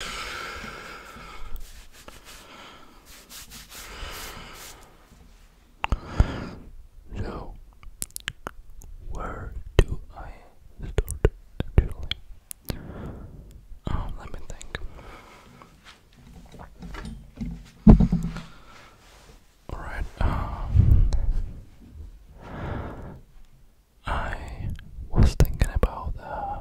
So, where do I start actually? Oh, let me think. Alright, um, I was thinking about uh,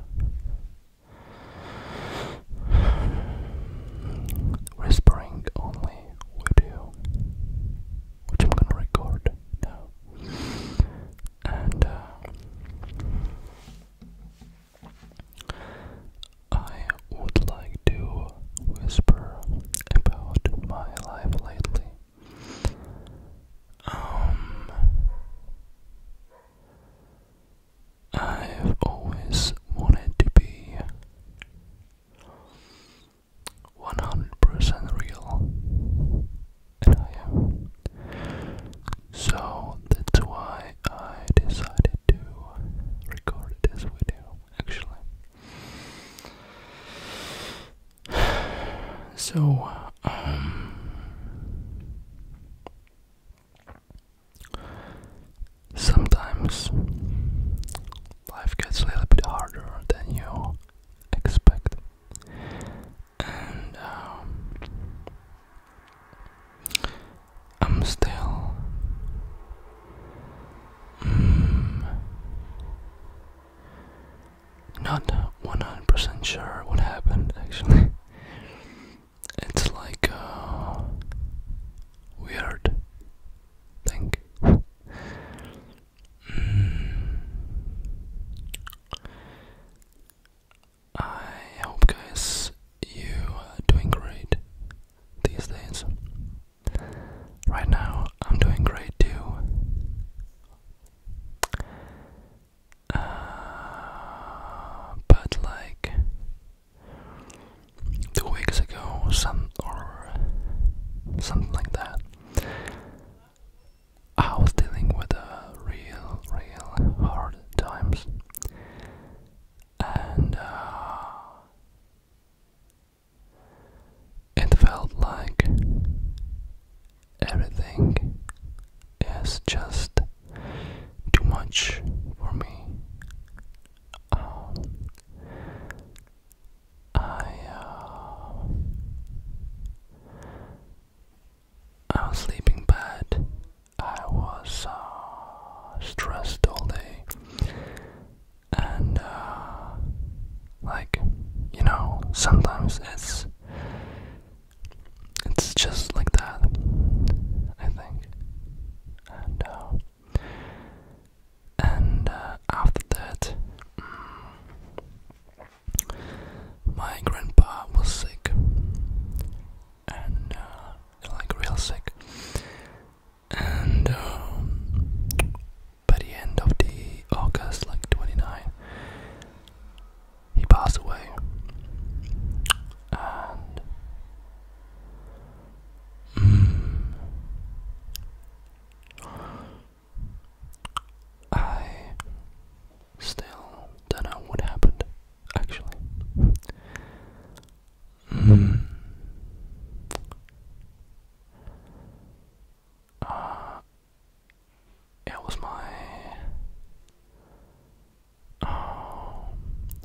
whispering only with you, which I'm gonna record now. And uh, I would like to whisper about my life lately. Um, I've always wanted to be 100% real, and I am. So that's why I decided to record this video actually. So um, sometimes life gets a little bit harder than you expect, and um, I'm still. Mm, not 100% sure what happened actually. it's like uh, weird thing. Hmm. I hope, guys, you are doing great these days. Right now, I'm doing great too. Uh, but like two weeks ago, some or something like that, I was dealing with real, real hard times, and uh, it felt like everything is just too much for me. Um, I uh, I was sleeping bad. I was uh, stressed all day, and uh, like you know, sometimes it's it's just like that, I think. And uh, uh, after that, mm, my grandpa was sick, and uh, like real sick. And um, by the end of the August, like 29, he passed away. And hmm, I still don't know what happened, actually. Hmm. Uh, it was my.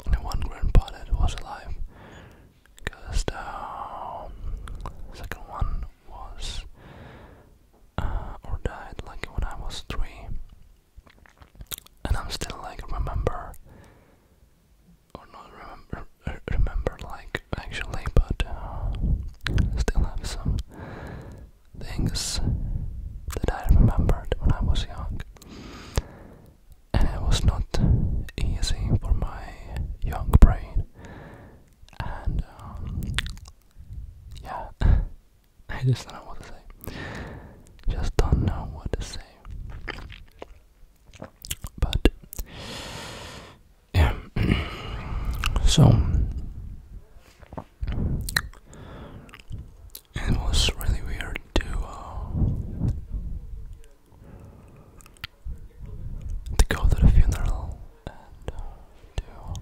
only um, one grandpa that was alive. Because the um, second one was. Uh, or died like when I was three. And I'm still like, remember. Or not remember, remember like actually, but uh, still have some things that I remembered when I was young. And it was not easy for my young brain. And um, yeah, I just don't know what to say. Just don't know what to say. But yeah. so it was really weird to uh, to go to the funeral and uh, to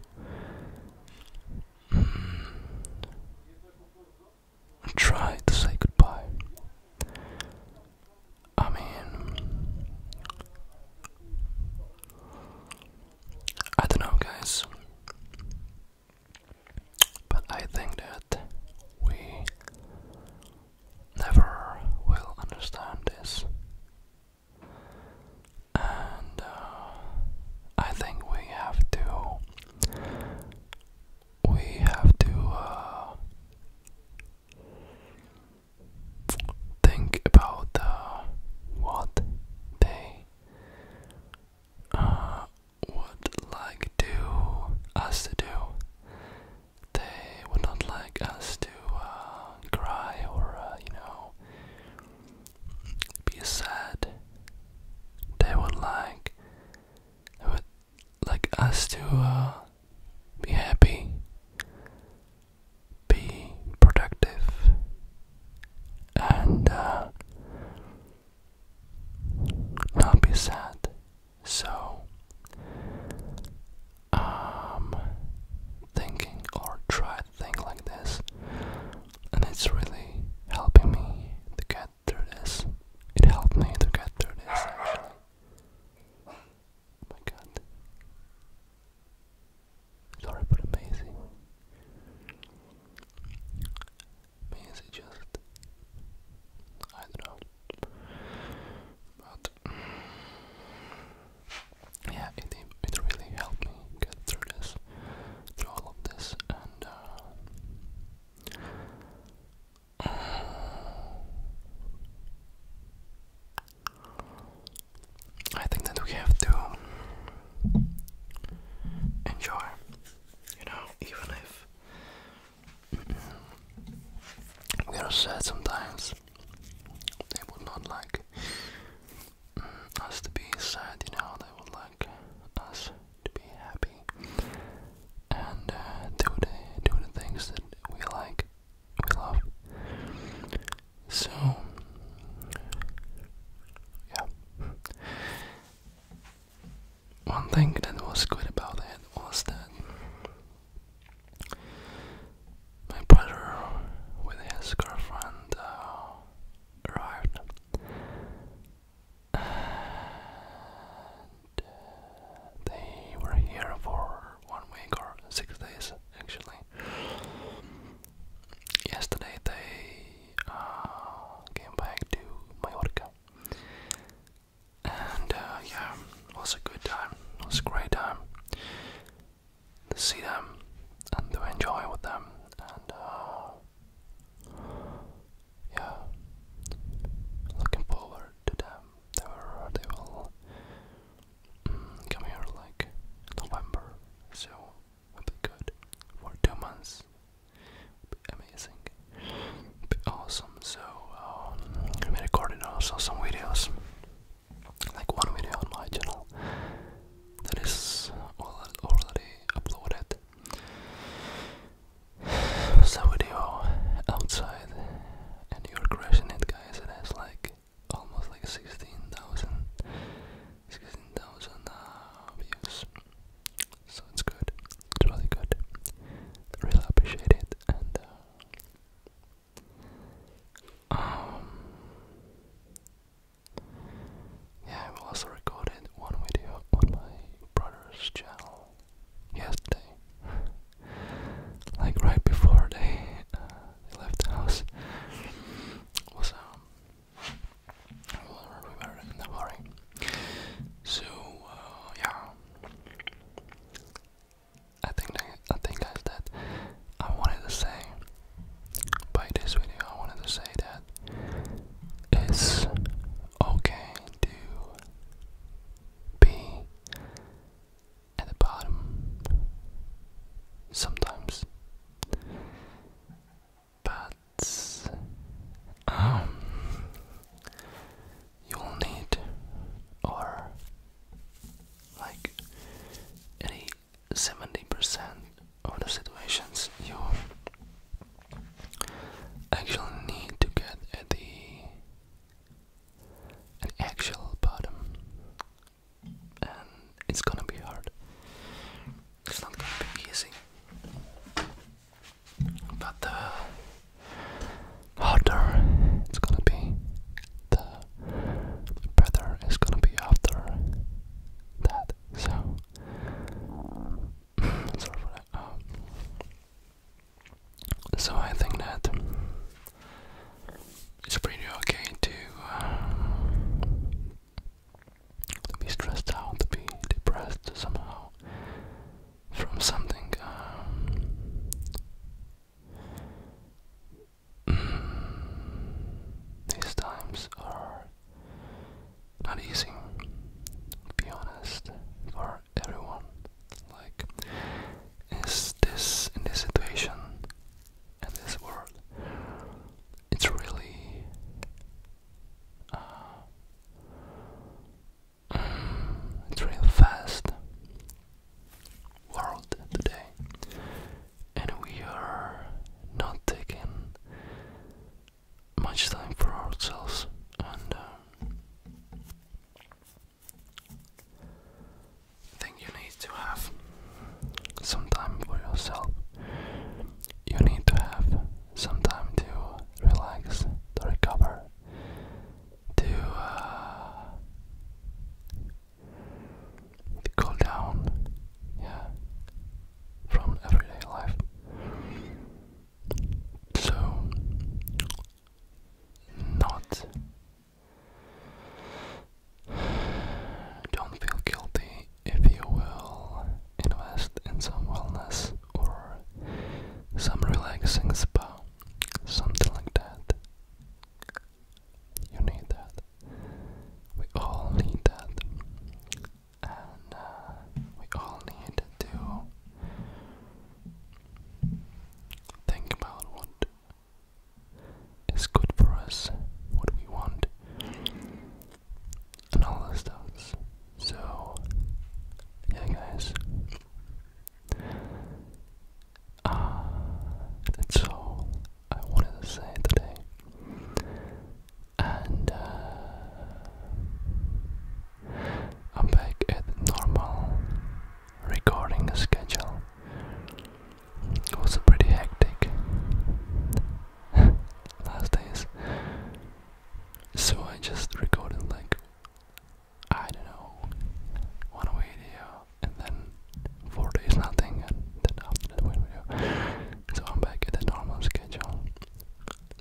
mm, try to say goodbye. I mean, I don't know, guys. But I think that we never will understand this. And uh, I think we have to. We have to. Uh, think about what they uh, would like to us to do. They would not like us to uh, cry or uh, you know be sad. They would like would like us to be happy be productive and uh, not be sad. So, um, thinking or try to think like this, and it's really helping me to get through this. It helped me to get through this actually. Oh my god. Sorry, but amazing. Means it just. I don't know. But. Yeah, it, it really helped me get through this, through all of this, and. Uh, I think that we have to enjoy, you know, even if we are sad sometimes, they would not like mm, us to be sad, you know, they would like us to be happy and uh, do, the, do the things that we like. So, yeah. One thing that was good about it was that my brother, with his girlfriend, uh, arrived. Uh, they were here for one week or six days actually. Yesterday they uh, came back to Mallorca, and uh, yeah, was a good time. was a great time to see them and to enjoy with them, and uh, yeah, looking forward to them. They were they will come here like November, so would be good for two months. Be amazing, be awesome. So um, I recorded also some videos, like one video on my channel that is already uploaded. It was a video outside, and you're crushing it, guys. It has like almost like 16,000 uh, views. So it's good. It's really good. really appreciate it. And uh, um, yeah, I also recorded one video on my brother's channel yesterday like right before uh, they, left the house, was um, we were in the worry. So uh, yeah, I think I think that I wanted to say by this video I wanted to say that it's okay to be at the bottom sometimes. But um, you'll need or like any seventy percent of the situations you actually need to get at the an actual bottom and it's gonna be hard. It's not gonna be easy. But the uh, harder it's gonna be, the better it's gonna be after that. So sorry for that. Um, so I think that it's pretty okay to uh, be stressed out, to be depressed somehow from something. Um, mm, these times are not easy, be honest, for everyone. Like, is this in this situation in this world it's really uh, mm, it's real fast world today and we are not taking much time for ourselves and um, think you need to have some time for yourself. You need to have some time to relax, to recover, to, uh, to cool down, yeah, from everyday life. So, not don't feel guilty if you will invest in some wellness or some relaxing spa, something like that. You need that. We all need that. And uh, we all need to think about what it's good for us, what we want, and all those stuff. So, yeah, guys. Ah, that's all I wanted to say today. And uh, I'm back at normal recording schedule it was pretty hectic last days. So I just recorded like I don't know one video and then four days nothing and then after that one video. So I'm back at the normal schedule.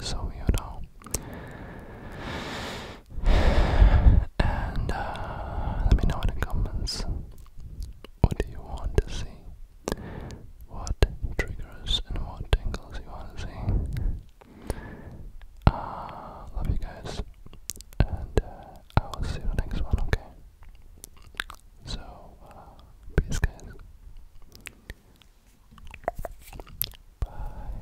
So you know and uh, let me know in the comments what do you want to see, what triggers and what tingles you want to see. Uh, love you guys, and uh, I will see you in the next one, okay? So, uh, peace, guys. Bye.